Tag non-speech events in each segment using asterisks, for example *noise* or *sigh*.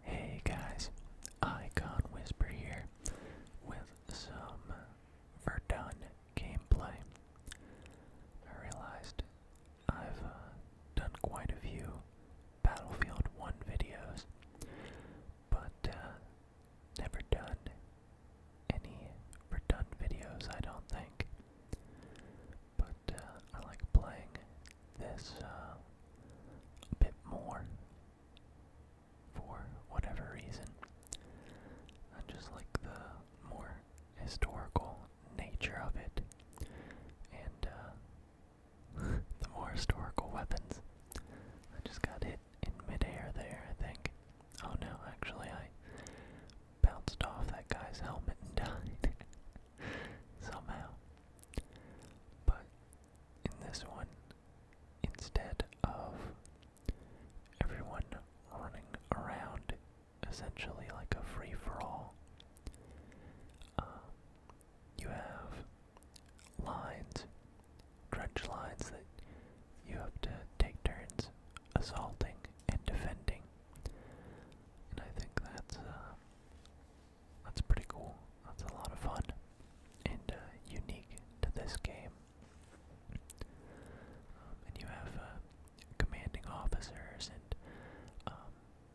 Hey guys, Icon Whisper here with some Verdun gameplay. I realized I've uh, done quite a few Battlefield 1 videos, but uh, never done any Verdun videos, I don't think. But uh, I like playing this uh, a bit more for whatever reason. I just like the more historical nature of it, and uh, *laughs* the more historical weapons. I just got hit in midair there, I think. Oh no, actually, I bounced off that guy's helmet and *laughs* died. *laughs* Somehow. But in this one, instead of everyone running around essentially like a free for all, uh, you have lines, dredge lines that you have to take turns assaulting and defending. And I think that's uh, that's pretty cool. That's a lot of fun and uh, unique to this game. Um, and you have uh, commanding officers, and um,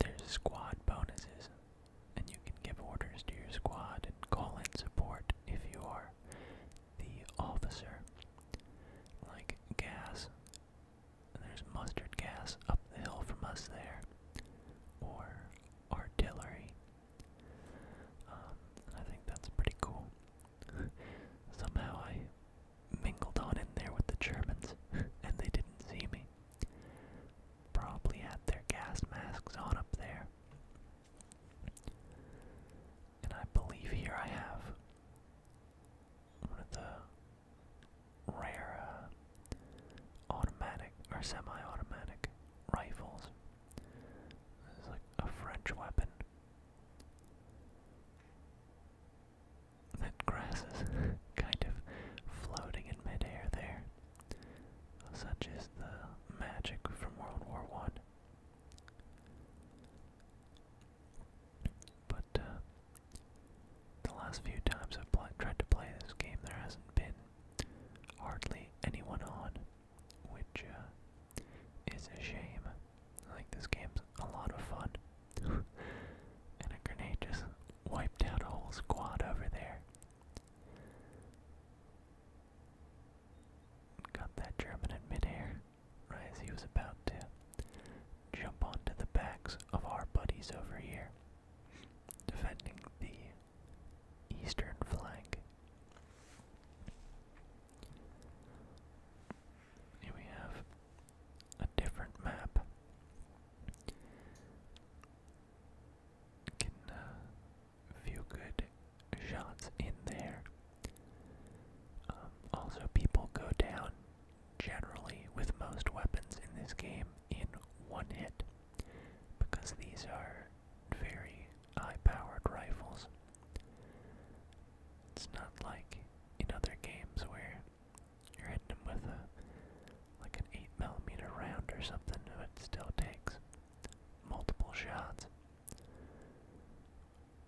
there's squad bonuses, and you can give orders to your squad and call in support if you are the officer. Like gas there's mustard gas up the hill from us there, or artillery. Um, I think that's pretty cool. *laughs* Somehow I mingled on in there with the Germans, *laughs* and they didn't see me. Probably had their gas masks on up there. And I believe here I have one of the rare uh, automatic or semi-automatic rifles. This like a French weapon. That grass is *laughs* kind of floating in midair there. Such is the magic from World War One. But uh, the last few times I've tried to play this game, there hasn't been hardly anyone on, which uh, is a shame. Like this game's a lot of fun, *laughs* and a grenade just wiped out a whole squad over there. Got that German in midair, right as he was about to jump onto the backs of our buddies over here, defending the eastern flank. Here we have a different map. Can uh, good shots in there. Um, also, people go down generally with most weapons in this game in one hit because these are very high powered rifles. It's not like in other games where you're hitting them with a like an 8 millimeter round or something, but it still takes multiple shots.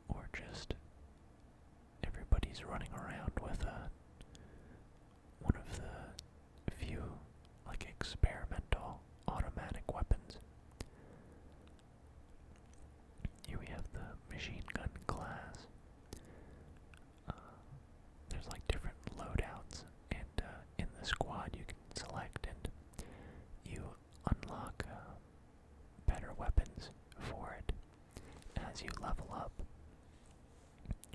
Or just Everybody's running around with a uh, one of the few like experimental automatic weapons. Here we have the machine gun class. Uh, there's like different loadouts, and uh, in the squad you can select, and you unlock better weapons for it as you level up,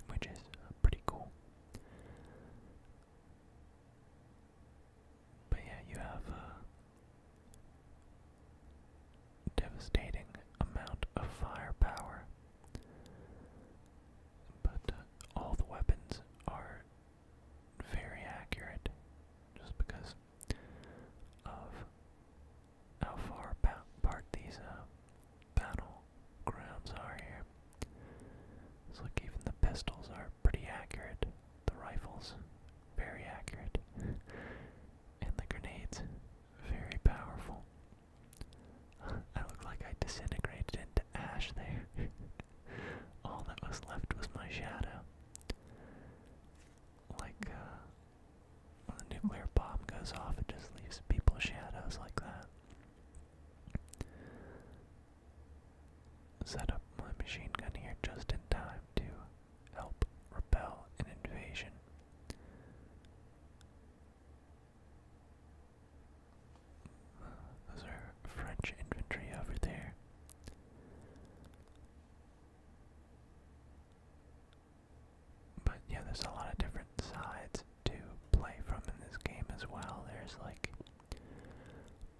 which is pretty cool. But yeah, you have a devastating amount of firepower. But uh, all the weapons are very accurate just because of how far apart these uh, battle grounds are here. look, even the pistols are pretty accurate. The rifles, very accurate. *laughs* and the grenades, very powerful. *laughs* I look like I disintegrated into ash there. *laughs* All that was left was my shadow like uh, when a nuclear bomb goes off, it just leaves people shadows like that. Set up my machine gun here just in time to help repel an invasion. Those are French infantry over there. But yeah, there's a lot of different sides to play from in this game as well. There's like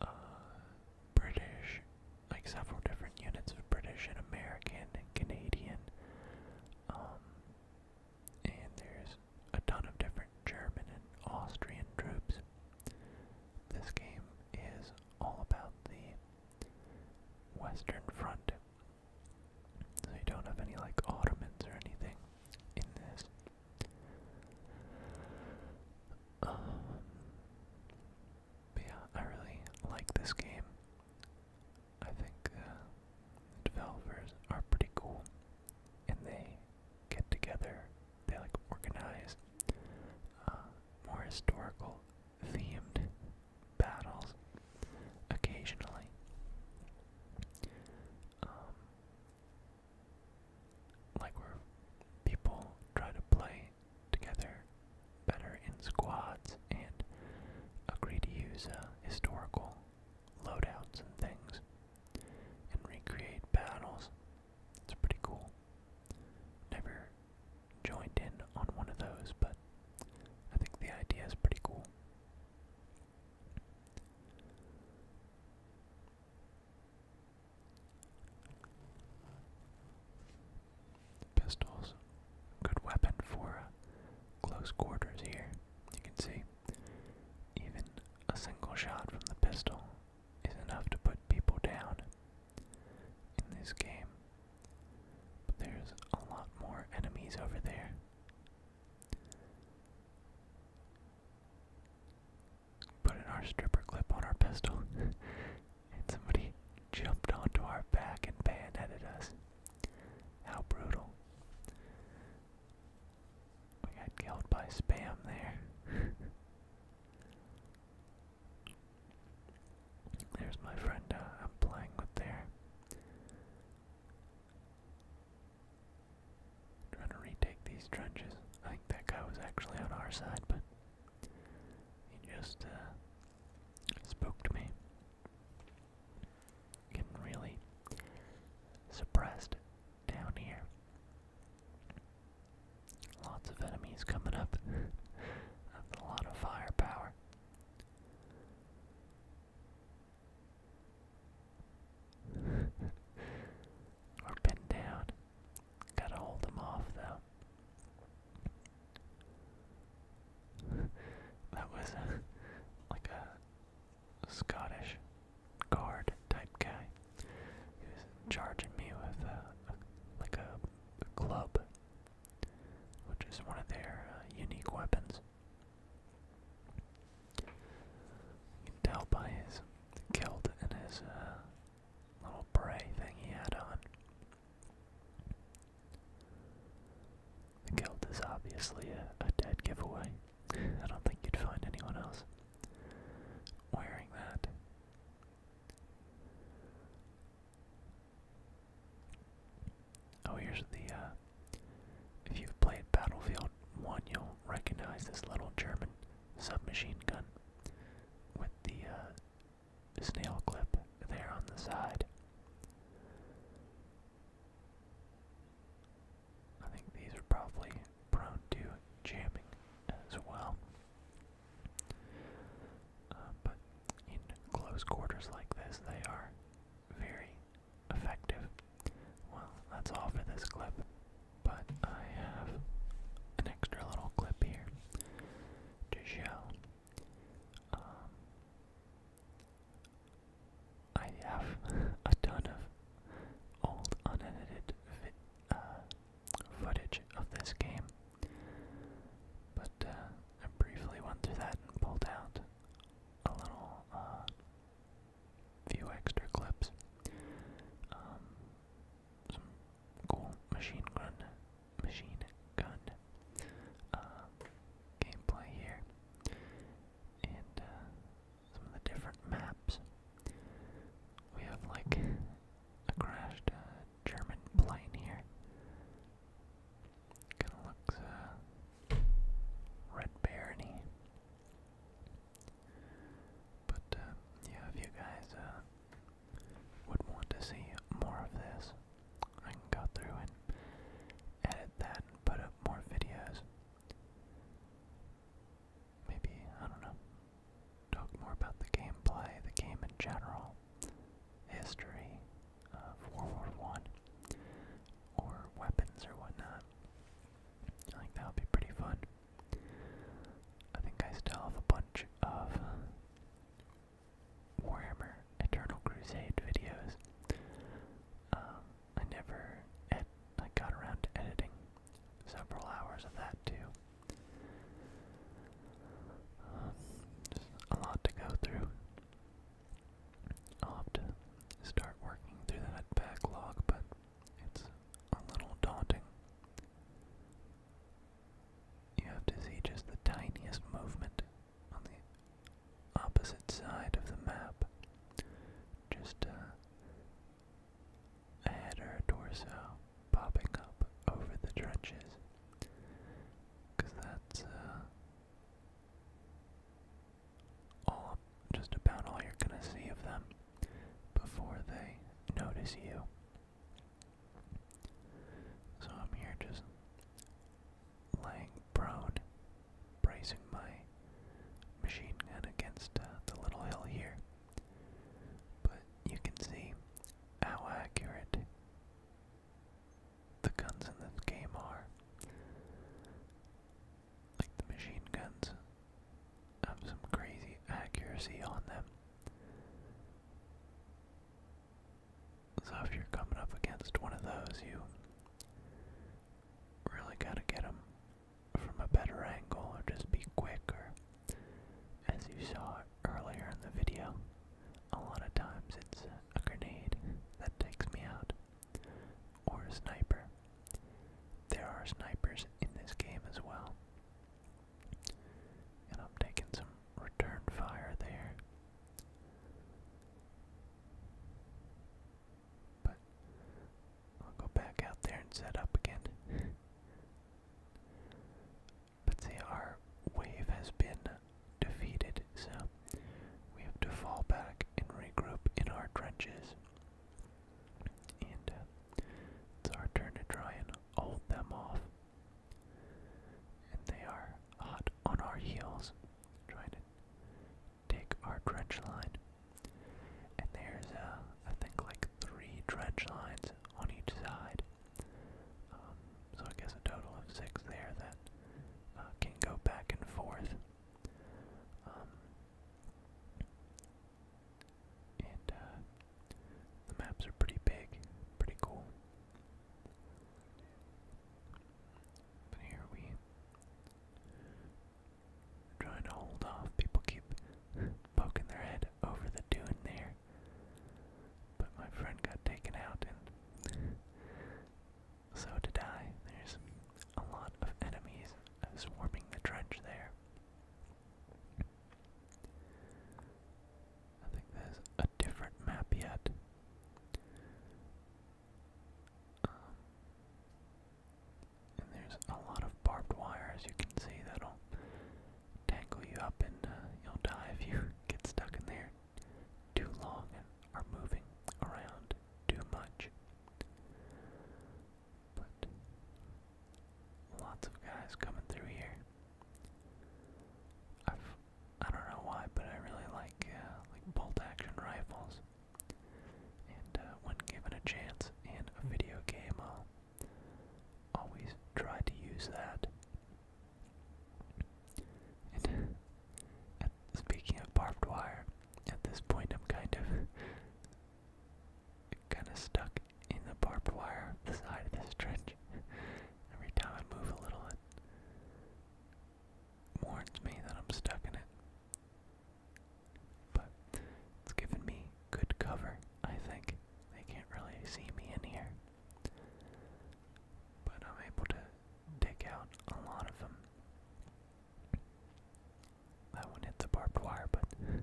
uh, British, like several different units of British and American and Canadian. Um, and there's a ton of different German and Austrian troops. This game is all about the Western Front. So you don't have any like Ottomans or anything in this. Um, but yeah, I really like this game. I think uh, the developers are pretty cool, and they get together. They like organize uh, more historical themed battles occasionally. Um, like where people try to play together better in squads and agree to use uh, historical loadouts and things and recreate battles it's pretty cool. Never joined in on one of those, but I think the idea is pretty cool. Pistols, good weapon for uh, close quarters here. You can see even a single shot from the pistol is enough to put people down in this game. But there's a lot more enemies over there. Put our stripper clip on our pistol, *laughs* and somebody jumped onto our back and bayoneted us. How brutal. We got killed by spam there. *laughs* There's my friend uh, I'm playing with there. Trying to retake these trenches. I think that guy was actually on our side, but he just uh, spoke to me. Getting really suppressed down here. Lots of enemies coming up. a lot of firepower. *laughs* We're pinned down. Gotta hold them off, though. *laughs* that was like a Scottish guard type guy. He was charging me with a, like a, club, which is one of their uh, unique weapons. You can tell by his kilt and his uh, little beret thing he had on. The kilt is obviously a dead giveaway. I don't think you'd find anyone else wearing that. Oh, here's the, uh, if you've played Battlefield 1, you'll recognize this little German submachine gun with the, uh, snail clip there on the side. I think these are probably prone to jamming as well. Uh, but in close quarters like this, they are very effective. Well, that's all for this clip, but I have an extra little clip here to show. Um, I have *laughs* a ton of old unedited vi uh, footage of this game. But uh, I briefly went through that and pulled out a little uh, few extra clips. Um, some cool machine gun, machine gun gameplay here, and some of the different maps. We have like a crashed uh, German plane here. Kind of looks uh, red barony. But uh, yeah, if you guys uh, would want to see more of this, I can go through and edit that and put up more videos maybe, I don't know, talk more about the gameplay, the game in general, history of World War One, or weapons or whatnot. I think that would be pretty fun. I think I still have a bunch of Warhammer Eternal Crusade videos. Um, I never I got around to editing several hours of that too. Um, a lot to go through. I'll start working through that backlog, but it's a little daunting. You have to see just the tiniest movement on the opposite side of the map. Just uh, head or a torso popping up over the trenches. that's uh, all, just about all you're going to see of them before they notice you. So I'm here just laying prone, bracing my machine gun against uh, the little hill here. But you can see how accurate the guns in this game are. Like the machine guns have some crazy accuracy on them. So if you're coming up against one of those, you really gotta get them from a better angle or just be quicker. As you saw earlier in the video, a lot of times it's a grenade that takes me out, or a sniper. There are snipers in this game as well. And I'm taking some return fire there. But I'll go back out there and set up again. but see, our wave has been defeated, so we have to fall back and regroup in our trenches. And uh, it's our turn to try and hold them off. And they are hot on our heels, trying to take our trench line. And there's, a I think, like three trench lines on each side. Um, so I guess a total of six there that uh, can go back and forth. Um, and uh, the maps are pretty big, pretty cool. But here we trying to hold off. People keep poking their head over the dune there. But my friend got taken out, and so did I. There's a lot of enemies swarming the trench there. I think there's a different map yet. Um, and there's a lot of barbed wire, as you can see, that'll tangle you up and uh, you'll die if you *laughs* get stuck in there too long and are moving around too much. But lots of guys coming through here. I've I i do not know why, but I really like uh, like bolt action rifles. And uh, when given a chance in a video game, I'll always try to use that. And speaking of barbed wire, at this point I'm kind of kind of stuck in the barbed wire, the side of this trench. Every time I move a little, it warns me that I'm stuck in it. But it's given me good cover, I think. They can't really see me in here. But I'm able to take out a lot of them. That one hit the barbed wire, but *laughs* we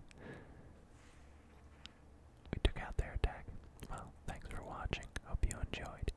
took out their attack. Well, thanks for watching. Hope you enjoyed.